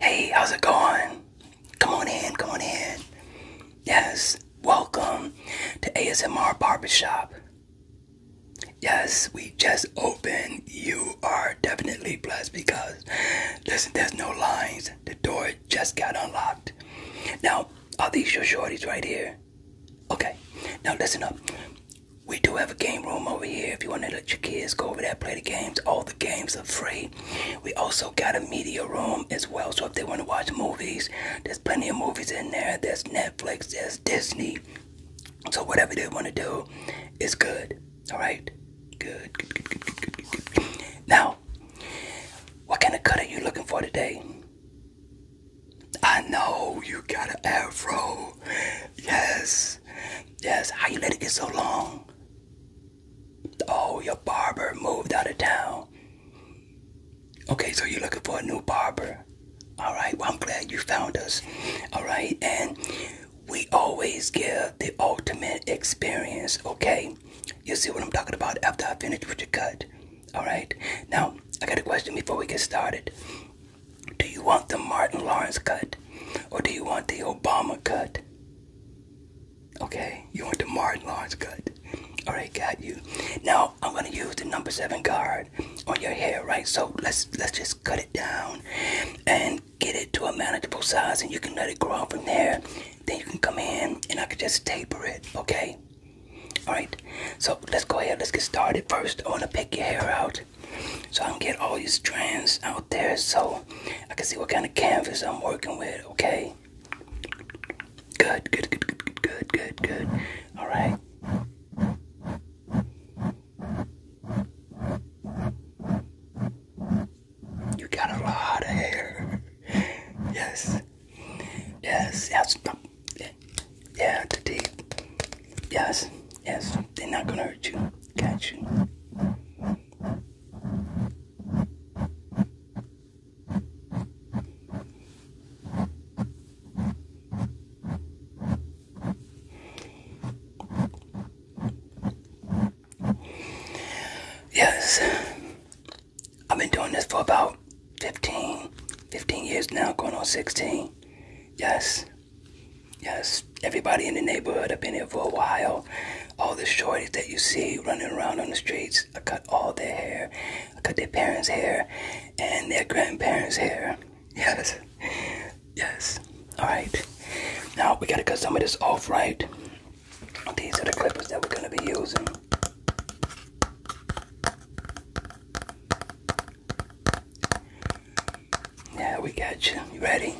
Hey, how's it going? Come on in, come on in. Yes, welcome to ASMR Barbershop. Yes, we just opened. You are definitely blessed because, listen, there's no lines. The door just got unlocked. Now, are these your shorties right here? Okay, now listen up. We do have a game room over here if you want to let your kids go over there play the games. all the games are free. We also got a media room as well. So if they want to watch movies, there's plenty of movies in there. There's Netflix, there's Disney. So whatever they want to do is good. All right? Good. Good, good, good, good, good, good. Now, what kind of cut are you looking for today? I know you got an afro. Yes. Yes. How you let it get so long? Oh, your barber moved out of town. Okay, so you're looking for a new barber. All right. Well, I'm glad you found us. All right. And we always give the ultimate experience. Okay. You see what I'm talking about after I finish with your cut. All right. Now, I got a question before we get started. Do you want the Martin Lawrence cut? Or do you want the Obama cut? Okay, you want the Martin Lawrence cut. Alright, got you. Now I'm gonna use the number seven card on your hair, right? So let's let's just cut it down and get it to a manageable size and you can let it grow from there. Then you can come in and I can just taper it, okay? Alright, so let's go ahead, let's get started. First, I wanna pick your hair out so I can get all these trends out there so I can see what kind of canvas I'm working with, okay? Good, good, good, good, good, good, good, good. Alright. You got a lot of hair. Yes. Yes, yes. Yeah, the deep. Yes, yes. They're not gonna hurt you. Got you. Yes, I've been doing this for about 15, 15 years now, going on 16. Yes, Yes, everybody in the neighborhood, I've been here for a while. All the shorties that you see running around on the streets, I cut all their hair. I cut their parents' hair and their grandparents' hair. Yes, yes. All right. Now we gotta cut some of this off, right? These are the clippers that we're gonna be using. Yeah, we got you. You ready?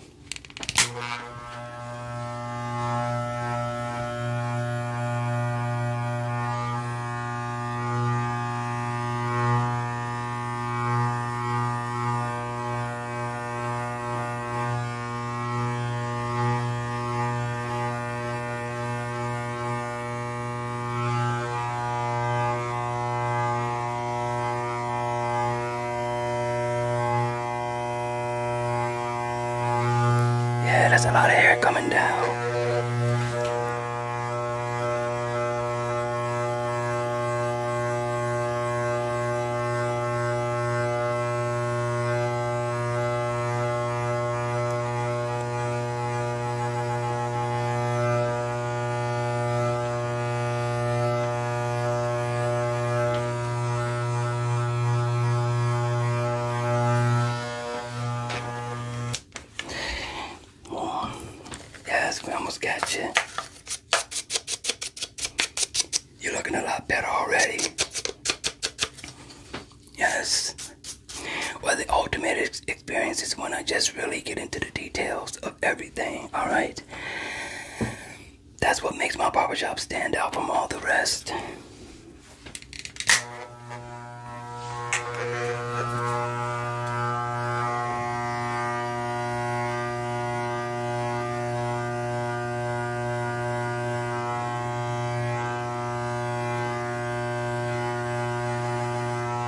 Yeah, there's a lot of hair coming down. Oh, yes, we almost got you. You're looking a lot better already. Yes. Well, the ultimate Experiences when I just really get into the details of everything, alright? That's what makes my barber shop stand out from all the rest.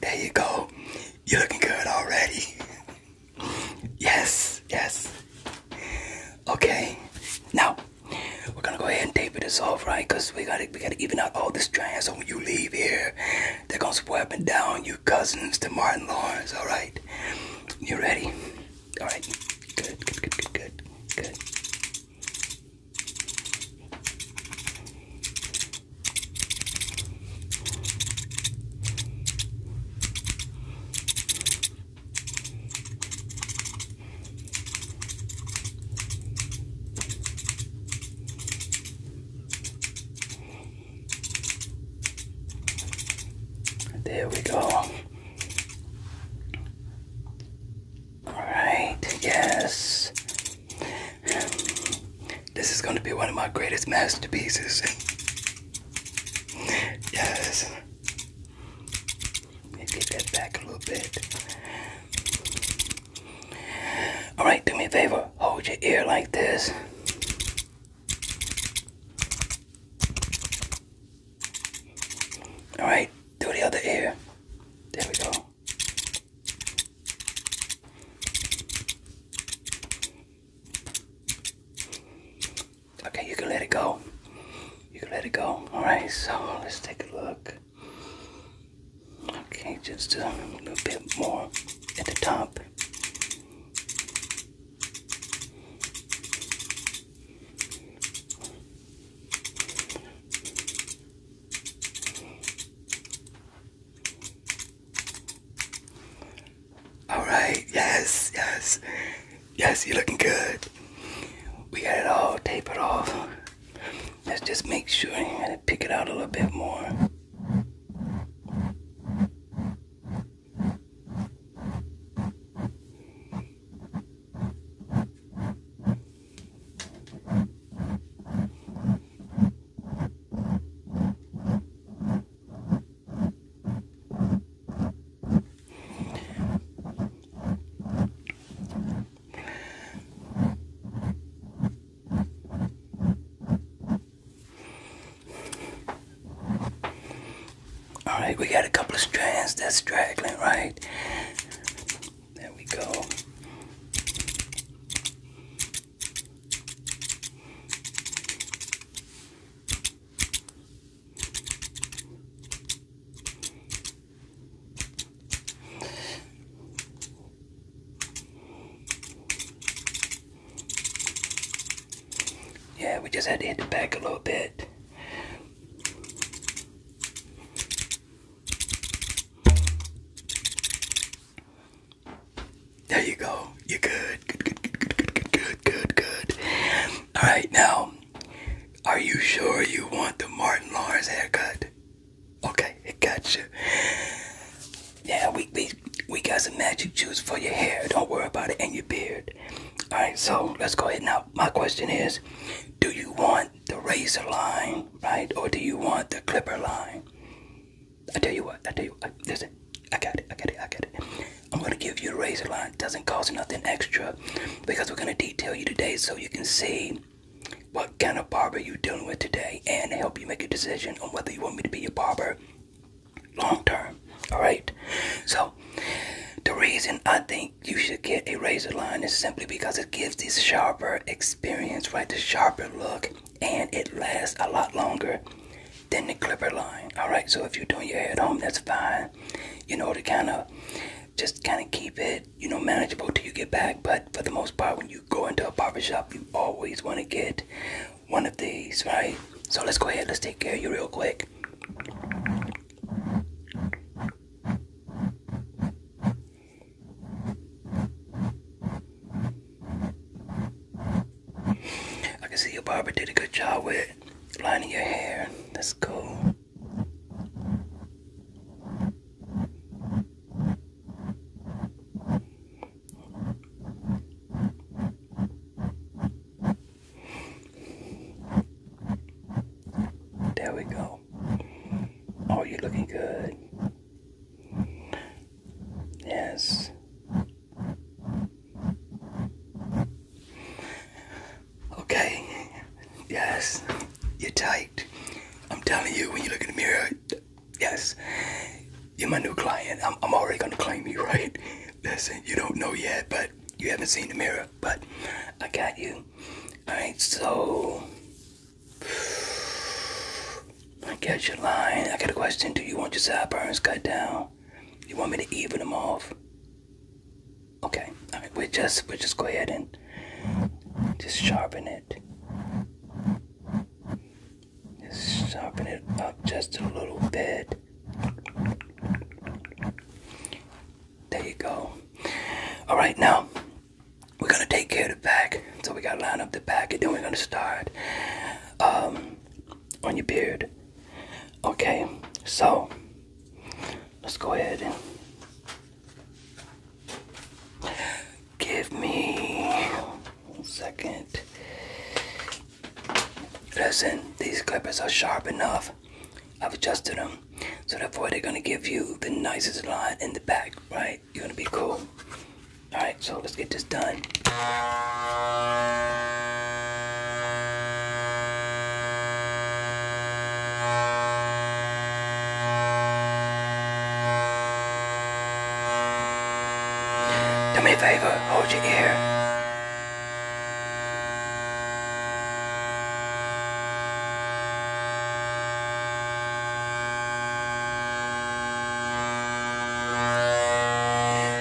There you go. You're looking good already. yes, yes. Okay. Now, we're gonna go ahead and tape this off, right? Because we got we gotta even out all the trans so when you leave here, they're gonna swear and down you cousins to Martin Lawrence, alright? You ready? Alright. good, good, good, good, good. There we go. Alright, yes. This is going to be one of my greatest masterpieces. yes. Let that back a little bit. Alright, do me a favor. Hold your ear like this. Alright, do the other ear. There we go. Okay, you can let it go. You can let it go. Alright, so let's take a look. Okay, just a little bit more at the top. All right, yes, yes, yes, you're looking good. We got it all Tape it off. Let's just make sure and pick it out a little bit more. Alright, we got a couple of strands that's straggling, right? There we go. Yeah, we just had to hit the back a little bit. There you go. You're good. Good, good, good, good, good, good, good, good, good. All right, now, are you sure you want the Martin Lawrence haircut? Okay, it got you. Yeah, we we we got some magic juice for your hair. Don't worry about it and your beard. All right, so let's go ahead now. My question is, do you want the razor line, right, or do you want the clipper line? I tell you what, I tell you, listen, I got it, I got it, I got it. I'm gonna give you a razor line. Doesn't cost nothing extra because we're gonna detail you today so you can see what kind of barber you dealing with today and help you make a decision on whether you want me to be your barber long term. Alright? So the reason I think you should get a razor line is simply because it gives this sharper experience, right? The sharper look and it lasts a lot longer than the clipper line. Alright, so if you're doing your hair at home, that's fine. You know the kind of just kind of keep it, you know, manageable till you get back. But for the most part, when you go into a barber shop, you always want to get one of these, right? So let's go ahead. Let's take care of you real quick. I can see your barber did a good job with lining your hair. That's cool. There we go. Oh, you're looking good. Yes. Okay. Yes. You're tight. I'm telling you, when you look in the mirror, yes, you're my new client. I'm, I'm already gonna claim you, right? Listen, you don't know yet, but you haven't seen the mirror, but I got you. Alright, so I got your line. I got a question. Do you want your sideburns cut down? You want me to even them off? Okay, I mean we just we just go ahead and just sharpen it. Just sharpen it up just a little bit. There you go. Alright now we're gonna take care of the back. So we gotta line up the back and then we're gonna start um on your beard. Okay, so let's go ahead and give me one second. Listen, these clippers are sharp enough. I've adjusted them. So therefore they're gonna give you the nicest line in the back, right? You're gonna be cool. Alright, so let's get this done. Doe me een favor, hold je ear.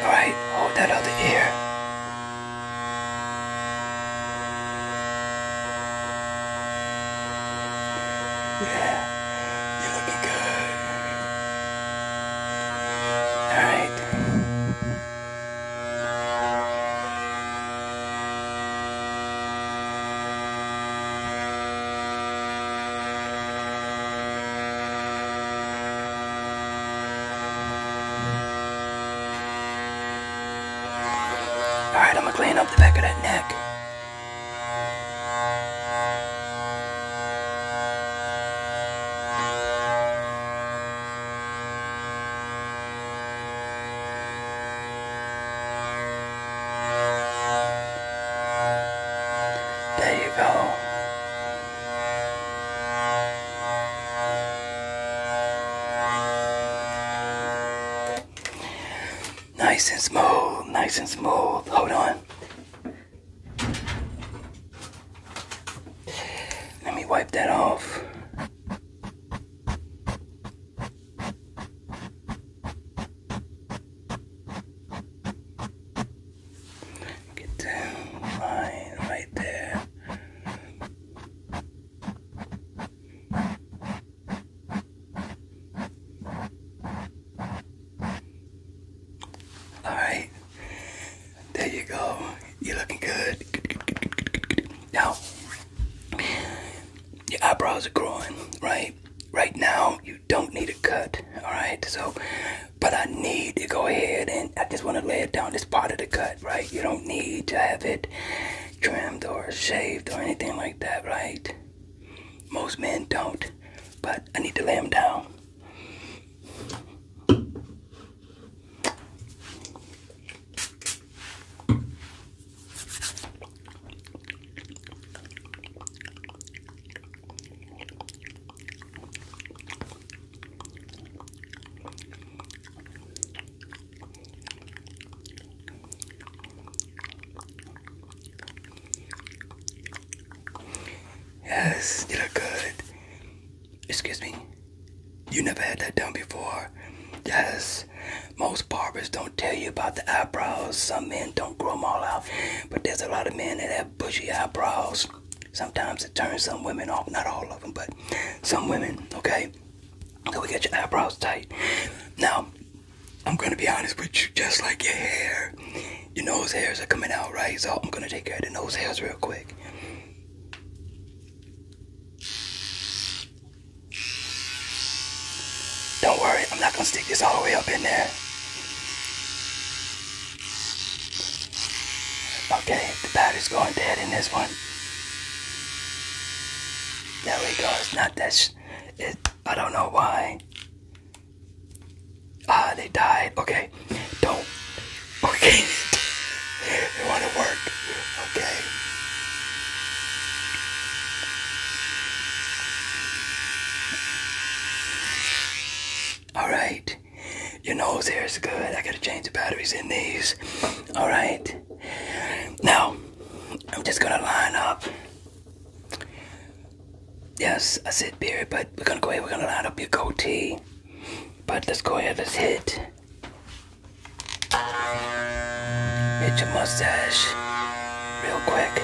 Alright, hold that other ear. Yeah, you're looking good. All right. Alright, I'm gonna clean up the back of that neck. There you go. Nice and smooth, nice and smooth. Hold on. Let me wipe that off. Get the line right there. Alright. There you go. You're looking good. Now, your eyebrows are growing, right? Right now, you don't need a cut, alright? So, but I need to go ahead and I just want to lay it down this part of the cut right? You don't need to have it trimmed or shaved or anything like that, right? Most men don't, but I need to lay him down. Yes, you look good. Excuse me. You never had that done before. Yes, most barbers don't tell you about the eyebrows. Some men don't grow them all out, but there's a lot of men that have bushy eyebrows. Sometimes it turns some women off, not all of them, but some women, okay? So we get your eyebrows tight. Now, I'm gonna be honest with you, just like your hair, your nose hairs are coming out, right? So I'm gonna take care of the nose hairs real quick. Don't worry, I'm not gonna stick this all the way up in there. Okay, the battery's going dead in this one. There we go. It's not this. it, I don't know why. Ah, they died. Okay, don't. Okay, they want to work. Okay. All right. Your nose hair is good. I gotta change the batteries in these. Alright. Now, I'm just gonna line up. Yes, I said beard, but we're gonna go ahead, we're gonna line up your goatee. But let's go ahead, let's hit. Hit your mustache real quick.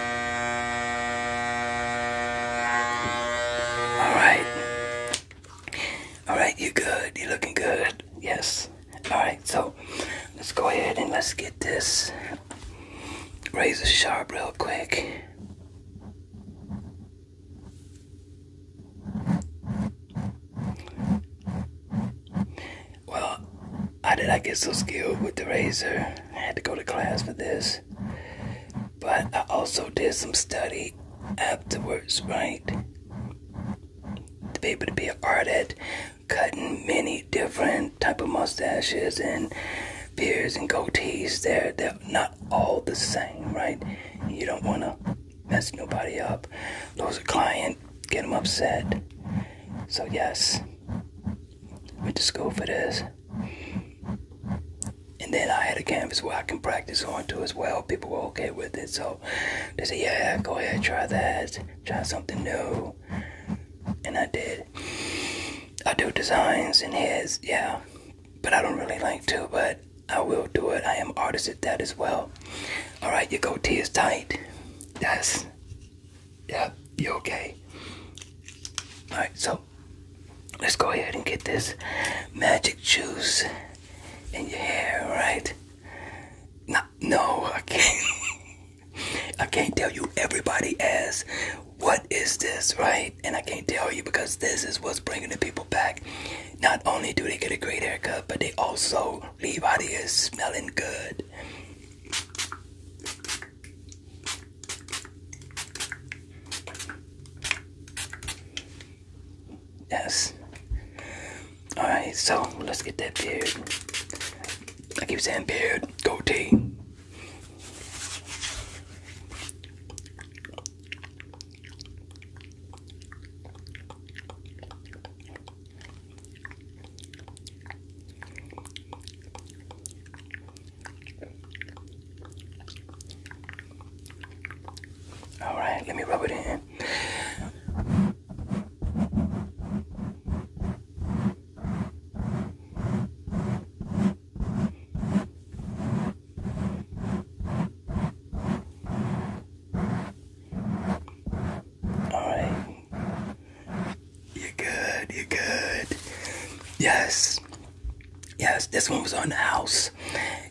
Alright. Alright, you good. You're looking good. Yes. Alright, so let's go ahead and let's get this razor sharp real quick. Well, how did I get so skilled with the razor? I had to go to class for this. But I also did some study afterwards, right? To be able to be an art cutting many different type of mustaches and beards and goatees. They're, they're not all the same, right? You don't want to mess nobody up, lose a client, get them upset. So yes, we just go for this and then I had a canvas where I can practice on too as well. People were okay with it, so they said, "Yeah, go ahead, try that, try something new." And I did. I do designs in heads, yeah, but I don't really like to. But I will do it. I am artist at that as well. All right, your goatee is tight. Yes. Yep. you're okay. All right, so let's go ahead and get this magic juice in your hair, right? No, no, I can't. I can't tell you. Everybody asks, "What is this?" Right? And I can't tell you because this is what's bringing the people back. Not only do they get a great haircut, but they also leave out here smelling good. Yes. Alright, so let's get that beard. I keep saying beard, goatee. All right, let me rub it in. All right. You are good, you are good. Yes. Yes, this one was on the house.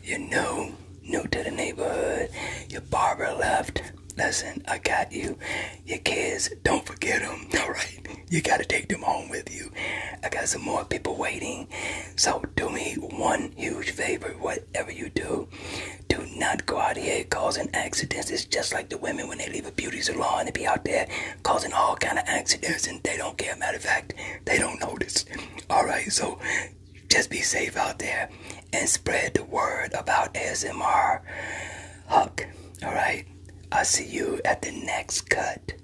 You know, new to the neighborhood. Your barber left. Listen, I got you. Your kids, don't forget them. All right, you gotta take them home with you. I got some more people waiting. So do me one huge favor, whatever you do, do not go out here causing accidents. It's just like the women when they leave a beauty salon and be out there causing all kind of accidents, and they don't care. Matter of fact, they don't notice. All right, so just be safe out there and spread the word about ASMR. Huck. All right, I'll see you at the next cut.